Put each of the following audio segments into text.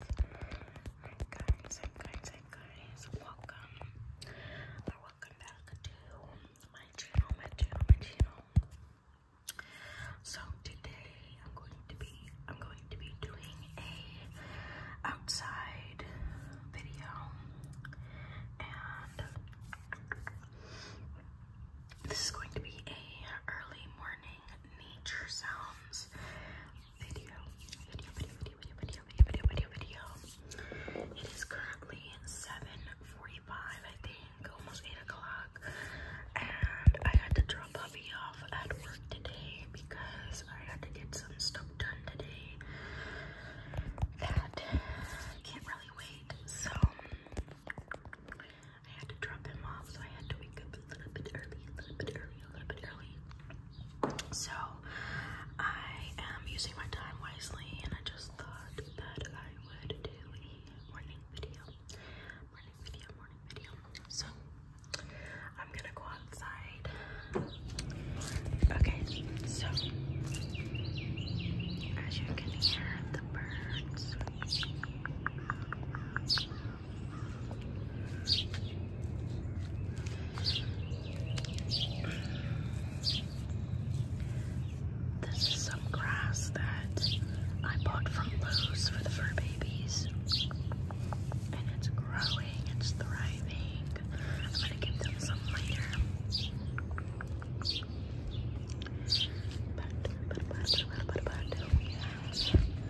Hi guys, guys, guys, welcome or welcome back to my channel, my channel, my channel. So today I'm going to be I'm going to be doing a outside video and this is going to be a early morning nature sounds video, video, video, video, video, video, video, video, video. It is currently 7.45, I think, almost 8 o'clock. And I had to drop Puppy off at work today because I had to get some stuff done today that can't really wait. So I had to drop him off, so I had to wake up a little bit early, a little bit early, a little bit early. So I am using my time wisely and I just thought that I would do a morning video. Morning video, morning video. So I'm gonna go outside. Okay, so as you can hear the birds. This is some grass that I bought from Lowe's for the fur babies. And it's growing, it's thriving. I'm gonna give them some later. But, but, but, but, but, but, but, oh,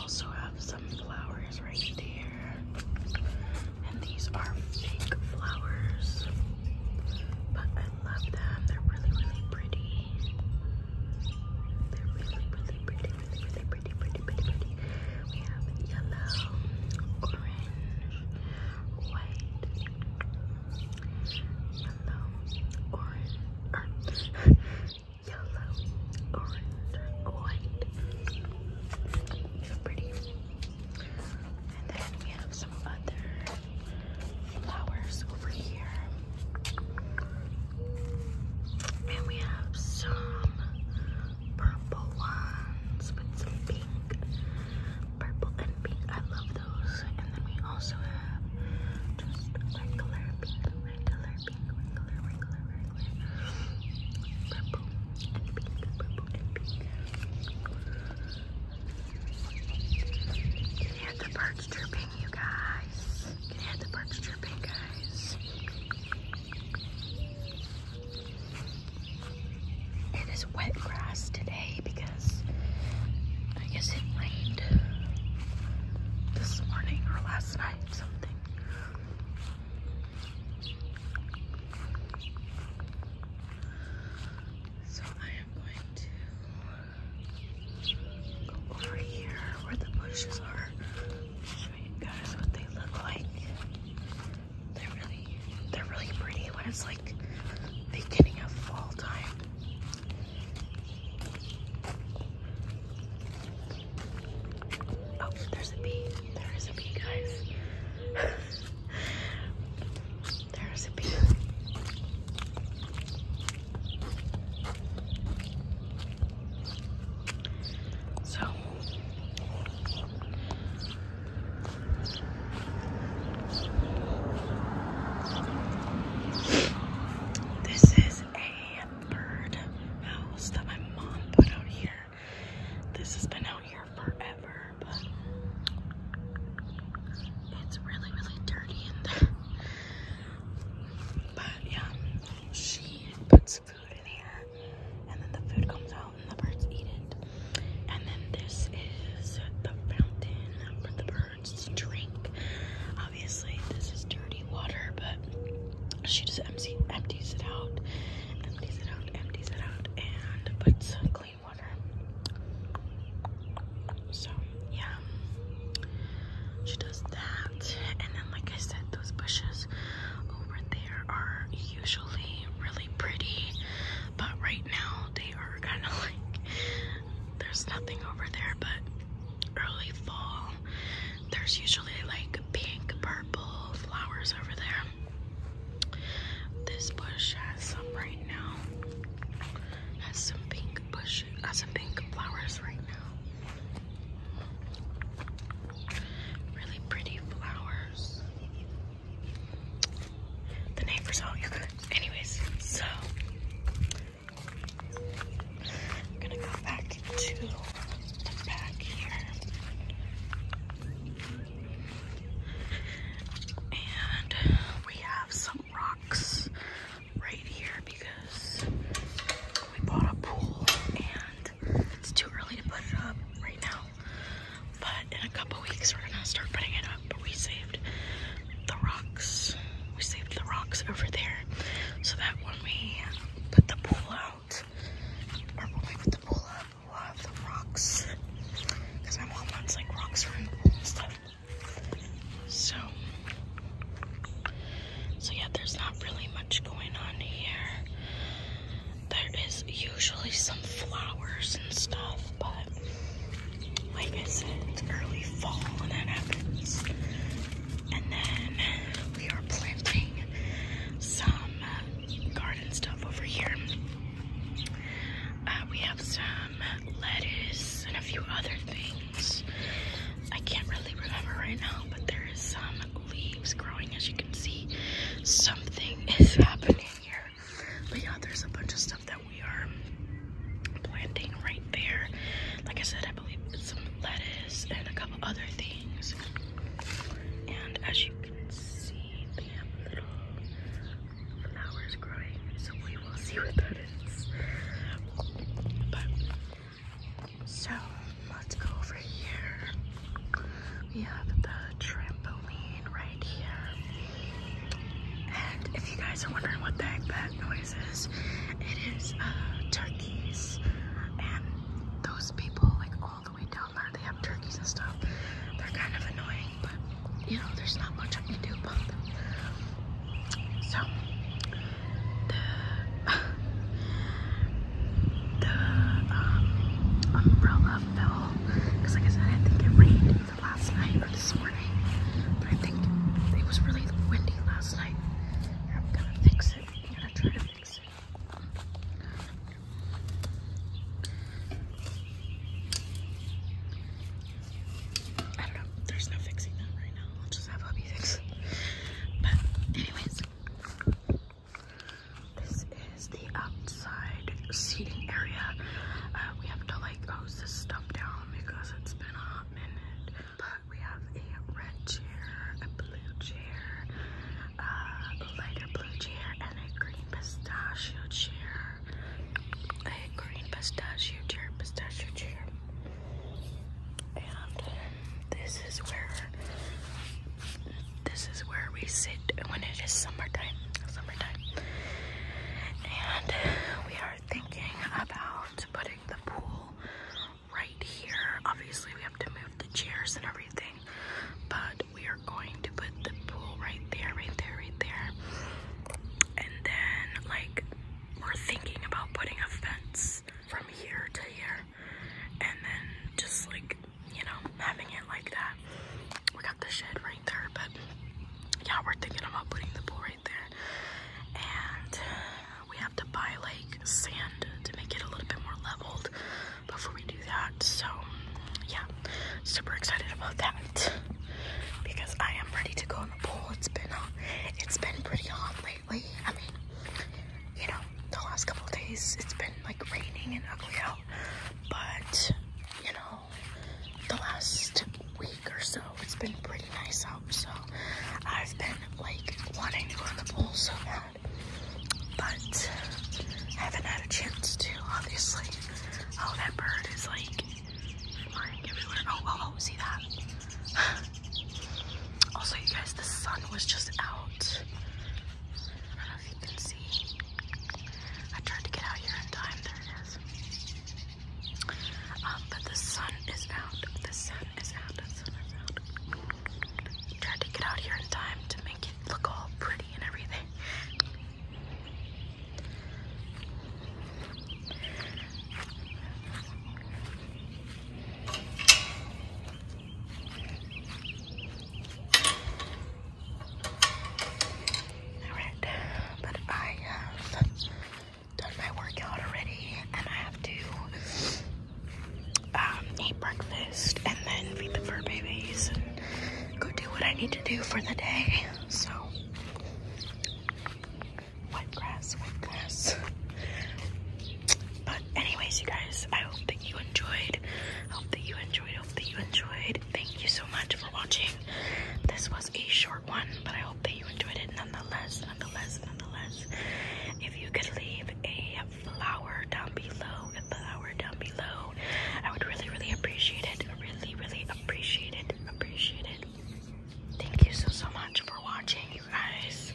Also have some flowers right here, And these are fake flowers. But I love them. They're really, really pretty. They're really, really pretty, really, really pretty, pretty, pretty, pretty. We have yellow, orange, white, yellow, orange, er, yellow, orange, white. So pretty. And then we have some other flowers over here. And we have some purple ones with some pink. Purple and pink. I love those. And then we also have just regular pink can hear the birds chirping, you guys? Can hear the birds chirping, guys? It is wet grass today because I guess it rained this morning or last night, something. So I am going to go over here where the bushes are, show you guys what they look like. They're really, they're really pretty when it's like beginning of fall time. Oh, there's a bee. There is a bee, guys. there is a bee. So this is a bird house that my mom put out here. This has been out here forever, but it's really, really dirty But yeah, she puts food in here, and then the food comes out and the birds eat it. And then this is the fountain for the birds words. drink. Obviously, this is dirty water, but she just empties it out, empties it out, empties it out, and puts clean water. So, yeah. She does that. And then, like I said, those bushes over there are usually really pretty, but right now they are kind of like there's nothing over there, but early fall, there's usually like pink, purple flowers over there. This bush has some right now. Has some pink bush, has some pink flowers right now. Really pretty flowers. The neighbors all Anyways, so I'm gonna go back to the back here. And we have some rocks right here because we bought a pool and it's too early to put it up right now. But in a couple weeks, we're gonna start putting it up we saved the rocks. We saved the rocks over there so that when we put the pool out, or when we put the pool up, we'll have the rocks. Because my mom wants like rocks around the pool and stuff. So, so yeah, there's not really much going on here. There is usually some flowers and stuff, but like I said, it's early fall when that happens. And then we are planting some uh, garden stuff over here. Uh, we have some lettuce and a few other things. I can't really remember right now, but there is some leaves growing as you can see. Something is happening here. But yeah, there's a bunch of stuff that we are planting right there. Like I said, I believe it's some lettuce and a couple other things. And as you can see, they have little flowers growing. So we will see what that is. But so let's go over here. We have the trampoline right here. And if you guys are wondering what the heck that noise is, it is uh, turkeys. And those people, like all the way down there, they have turkeys and stuff. They're kind of annoying, but you know, there's not much I can do about them. So, the, um, umbrella fell because, like I said, I think it rained last night or this morning, but I think it was really windy last night. I'm gonna fix it. I'm gonna try to fix it. don't know. There's no fixing that right now. I'll just have hubby fix But anyways, this is the outside seating area. Uh, we have to like hose this stuff down because it's been a hot minute. But we have a red chair, a blue chair, uh, a lighter blue chair, and a green pistachio chair. A green pistachio chair, pistachio chair. And this is where this is where we sit when it is summertime. Summertime. And we are are thinking about putting the pool right here. Obviously, we have to move the chairs and everything, but we are going to put the pool right there, right there, right there. And then, like, we're thinking about putting a fence from here to here, and then just like you know, having it like that. We got the shed right there, but yeah, we're thinking about putting the pool right there. And we have to buy like sand to make it a little bit more leveled before we do that. So yeah, super excited about that because I am ready to go in the pool. It's been uh, it's been pretty hot lately. I mean, you know, the last couple days it's been like raining and ugly out, but you know, the last week or so. It's been pretty nice out, so I've been like wanting to go to the pool so bad, but I haven't had a chance to, obviously. Oh, that bird is like flying everywhere. Oh, oh, oh, see that? also, you guys, the sun was just out. I don't know if you can see. I tried to get out here in time. There it is. Um, but the sun is out. The sun is out. The sun is out. Tried to get out here in time to make it look all pretty and everything. Alright, but I have done my workout already and I have to um, eat breakfast and then feed the fur babies and go do what I need to do for the day. So, wet grass, wet grass. But anyways, you guys, I hope that you enjoyed. hope that you enjoyed. hope that you enjoyed. Thank you so much for watching. This was a short but I hope that you enjoyed it nonetheless, nonetheless, nonetheless. If you could leave a flower down below, a flower down below, I would really, really appreciate it. Really, really appreciate it. Appreciate it. Thank you so, so much for watching, you guys.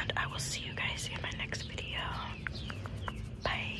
And I will see you guys in my next video. Bye.